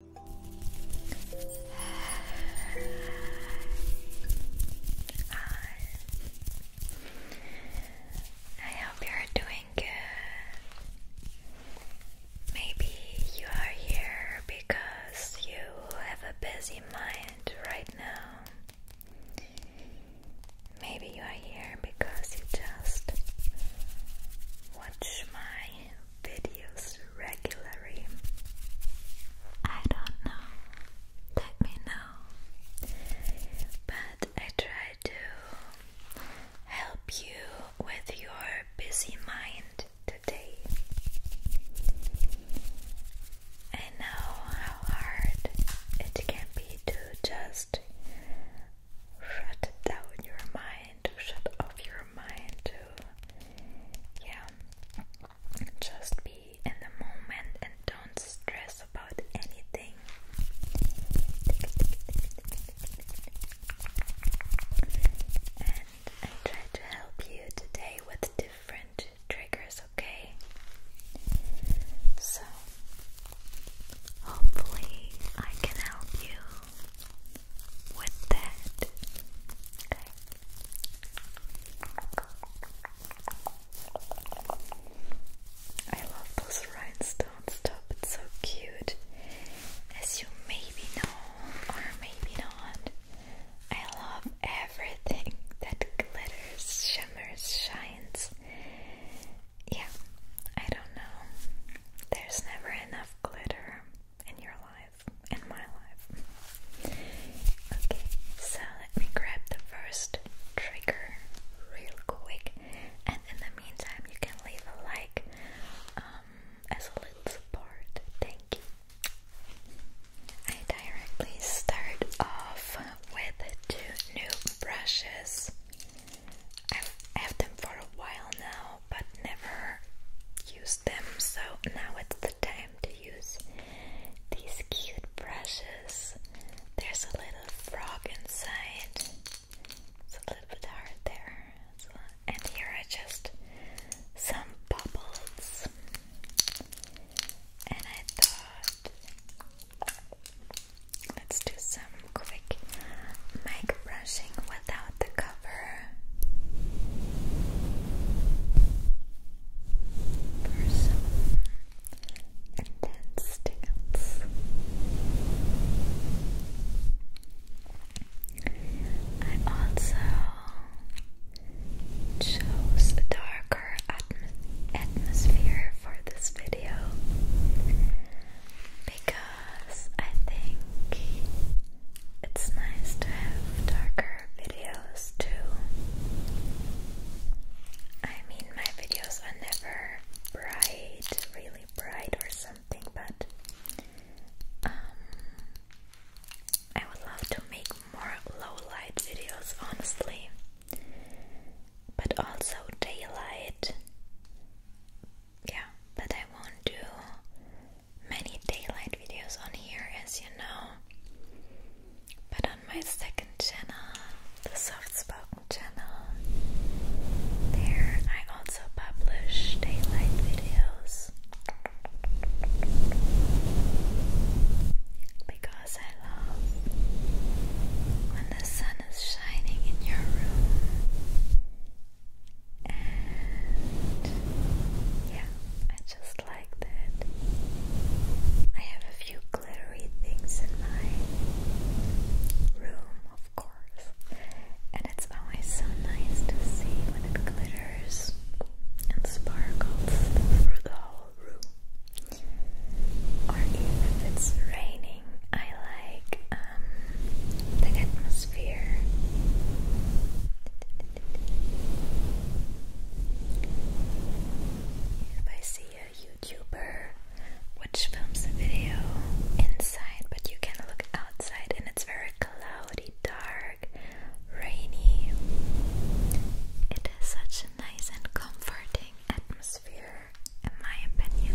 I hope you're doing good. Maybe you are here because you have a busy mind right now. Maybe you are here because you just watch my videos regularly? I don't know. Let me know. But I try to help you with your busy mind today. I know how hard it can be to just shut down your mind, to shut off your your mind to, yeah, just be in the moment and don't stress about anything. And I try to help you today with different triggers, okay? So, hopefully, I can help you with that. I love those rhinestones top, it's so cute. As you maybe know, or maybe not, I love everything that glitters, shimmers, shines. Yeah, I don't know. There's never enough glitter in your life, in my life. Okay, so let me grab the first trigger real quick, and in the meantime, you can leave a like um, as a little support. Thank you. I directly start off with two new brushes. I've them for a while now, but never used them, so now it's the time to use these cute brushes. There's a little frog inside. It's a little bit hard there. And here are just some bubbles. And I thought let's do some quick mic brushing without the cover cover for some intense tingles. I also chose a darker atmosphere for this video because I think it's nice to have darker videos too. I mean, my videos are never bright, really bright or something, but um, I would love to make more low light videos, honestly, but also daylight yeah, but I won't do many daylight videos on here, as you know. But on my second channel, the soft spoken channel, there I also publish daylight videos because I love when the sun is shining in your room yeah, I just like that. I have a few glittery things in my room, of course, and it's always so nice to see when it glitters and sparkles through the whole room. Or even if it's raining, I like um, the atmosphere. If I see a YouTuber which films a video inside, but you can look outside and it's very cloudy, dark, rainy, it such a nice and comforting atmosphere, in my opinion.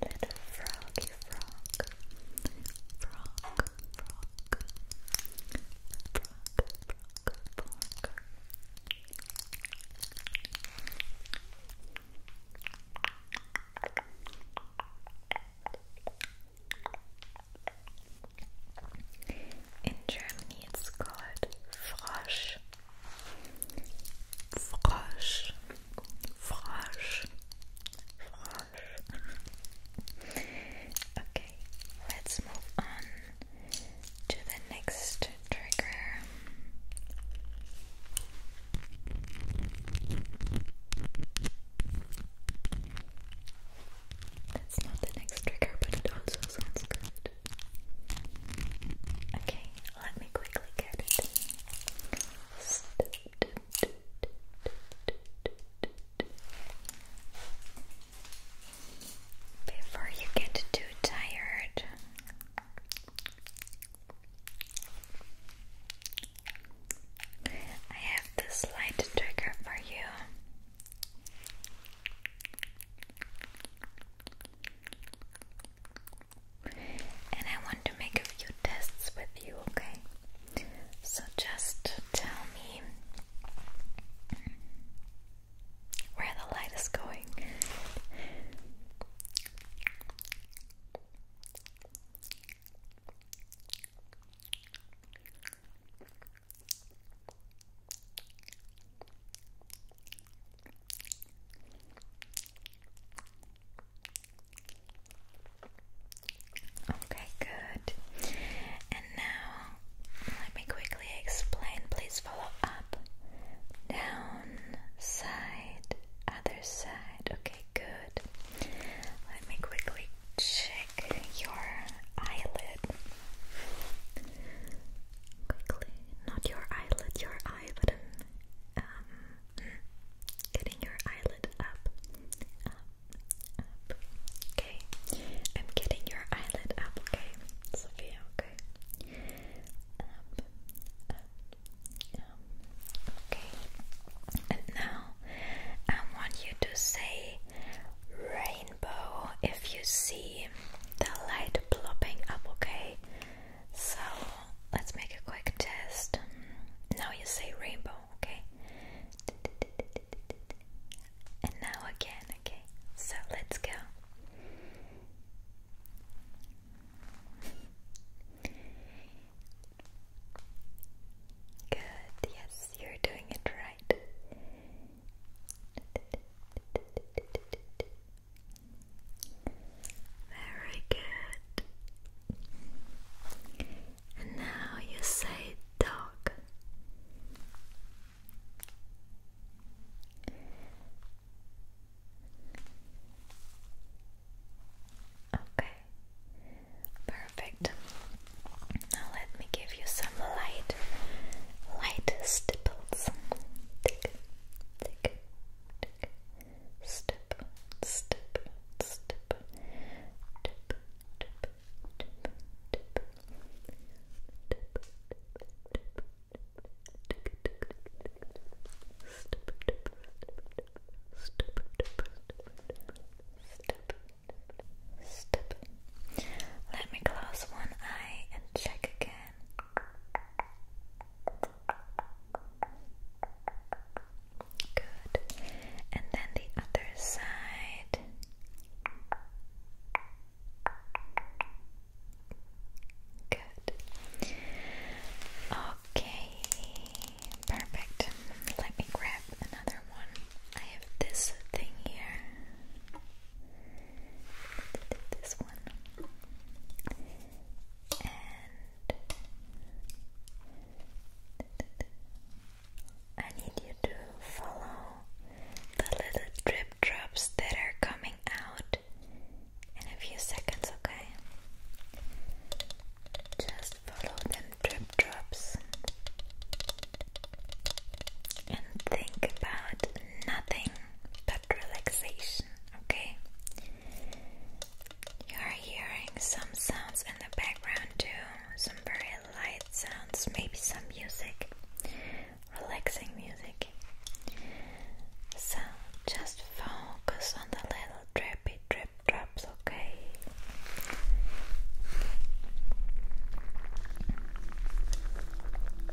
Little froggy frog, frog, frog, frog, frog, frog. In Germany, it's called Frosch. Frosch. Frosch. Frosch. okay, let's move on to the next trigger. That's not the next trigger, but it also sounds good. Okay, let me quickly get it. Before you get too tired. I have this light trigger for you. And I want to make a few tests with you, okay? So just tell me where the light is going. Okay, good. And now let me quickly explain. Please follow up, down, side, other side. Okay, good. Let me quickly check your eyelid quickly. Not your eyelid, your eye, but I'm um, getting your eyelid up, up, up. Okay, I'm getting your eyelid up. Okay, Sophia. Okay, up, up, up. Okay, and now I want you to say rain rainbow if you see the light plopping up, okay? So let's make a quick test. Now you say rainbow, okay? And now again, okay? So let's go. Good, yes, you're doing it right. Very good. now you say dog. Okay. Perfect. Now let me give you some light, light stipples. Tick, tick, tick. Stipple, stipple, stipple. Tip, tip, tip, tip. Tip, tip, tip, tip. Stip, tip, stip, stip, stip, stip, stip, let me close one eye and check again. Good. And then the other side. Good. Okay. Perfect. Let me grab another one. I have this thing here this one. And I need you to follow the little drip drops that are coming out in a few seconds, okay? Just follow them drip drops and think about nothing but relaxation, okay? You are hearing some sounds in the background too, some very light sounds, maybe some music, relaxing music. So just focus on the little drippy drip drops, okay?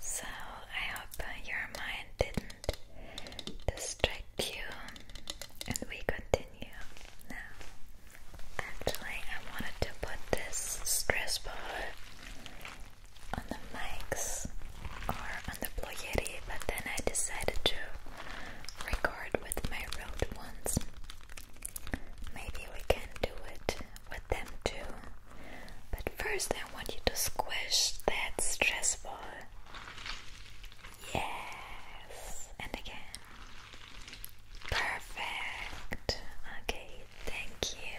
So, I hope uh, your mind didn't distract you, and we continue now. Actually, I wanted to put this stress ball on the mics or on the Ploieri, but then I decided to record with my road ones. Maybe we can do it with them too. But first, I want you to squish that stress ball. Yes, and again. Perfect. Okay, thank you.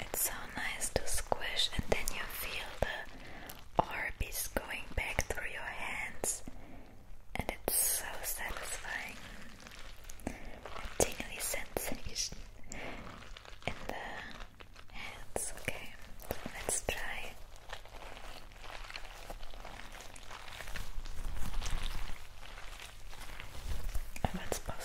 It's so nice to squish, and then you feel the orbs going back through your hands, and it's so satisfying. A tingly sensation in the hands. Okay, let's try if it's possible.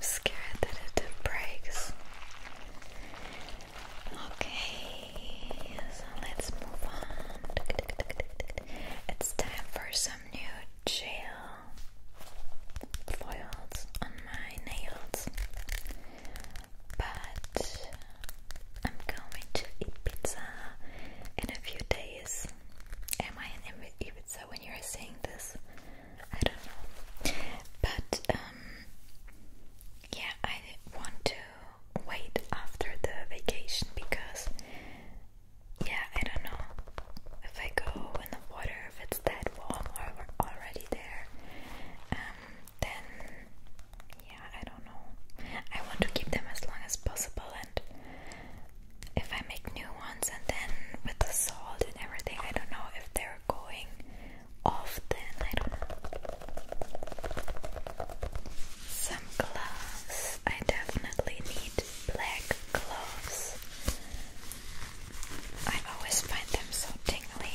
scared that it breaks. Okay, so let's move on. It's time for some new gel foils on my nails but I'm going to eat pizza in a few days. Am I in Ibiza when you're saying this? I don't know. But um, yeah, I want to wait after the vacation because yeah, I don't know if I go in the water if it's that warm or already there. Um, then yeah, I don't know. I want to keep them as long as possible, and if I make new ones, and then with the salt and everything, I don't know if they're going off. Then I don't know. Some gloves. I definitely need black gloves. I always find them so tingly.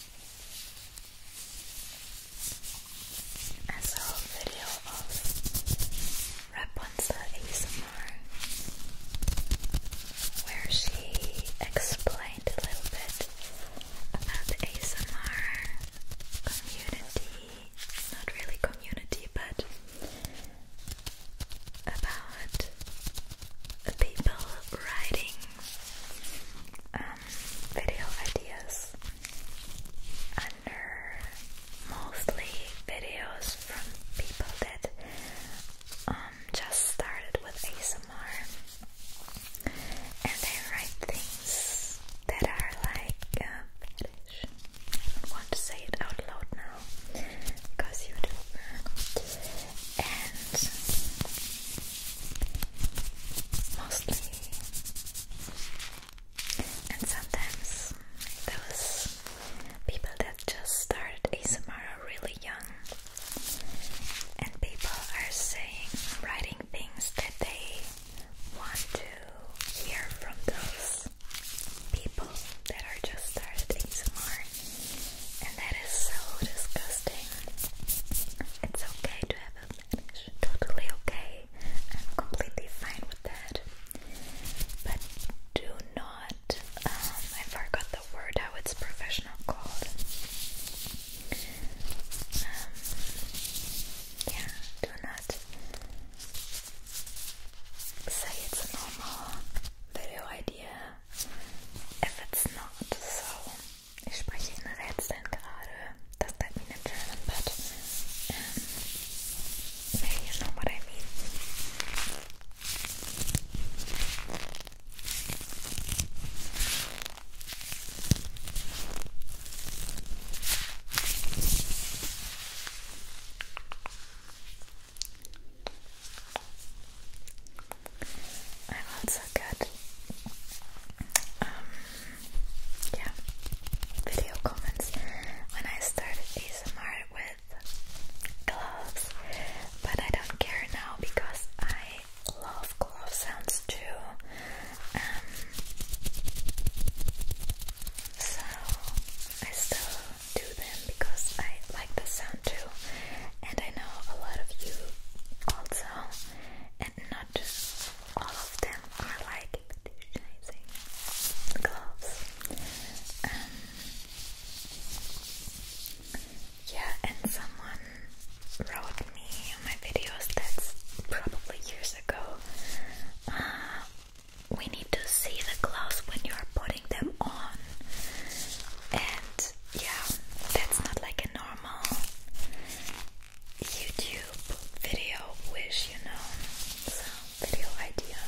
I saw a video of Rapunzel ASMR where she explained a little bit about the ASMR community, not really community, but about people writing um, video ideas under mostly videos from people that um, just started with ASMR and they write things that are like uh, don't want to say it out loud now because you and mostly, and sometimes those people that just started ASMR are really young, and people are saying, writing things that they want to hear from those people that are just started ASMR and that is so disgusting. It's okay to have a fetish, totally okay. I'm completely fine with that. But do not, um, I forgot the word how it's professional called. Um, yeah, do not say it's a normal video idea if it's not. So, ich spreche in Rätseln gerade. Does that mean in German? But um, you know what I mean i also good. Um, yeah, video comments. When I started ASMR with gloves, but I don't care now because I love glove sounds too. Um, so I still do them because I like the sound too. And I know a lot of you also, and not all of them are like fetishizing gloves. Um, yeah, and someone wrote me on my videos that's probably years ago. Uh, we need to see the gloves when you are putting them on, and yeah, that's not like a normal YouTube video wish, you know. video idea.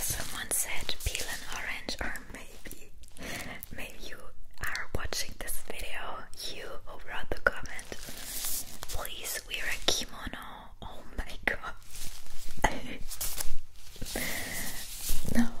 Someone said peel an orange, or maybe, maybe you are watching this video, you who wrote the comment. Please wear a kimono Oh my god. no.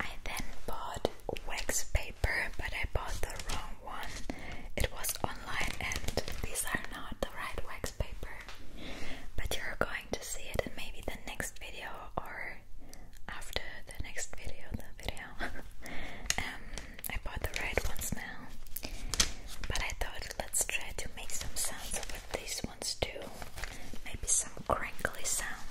I then bought wax paper, but I bought the wrong one. It was online, and these are not the right wax paper. But you're going to see it in maybe the next video or after the next video. The video. um, I bought the right ones now, but I thought let's try to make some sounds with these ones too. Maybe some crinkly sounds.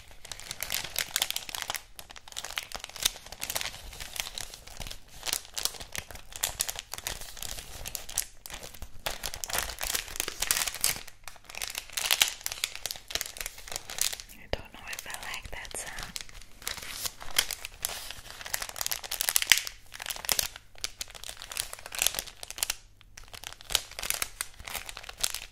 I don't know if I like that sound.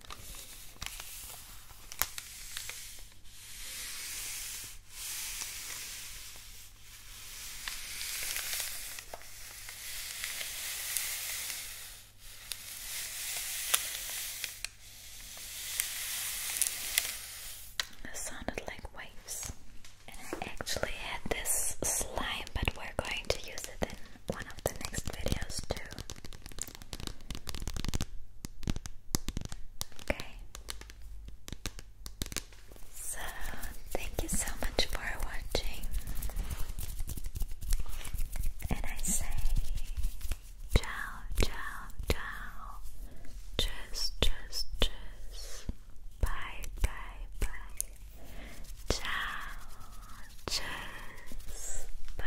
That sounded like waves. And I actually had this slime, but we're going to use it in one of the next videos too. Okay. So, thank you so much for watching. And I say ciao, ciao, ciao. Tschüss, tschüss, tschüss. Bye, bye, bye. Ciao, cheers, bye.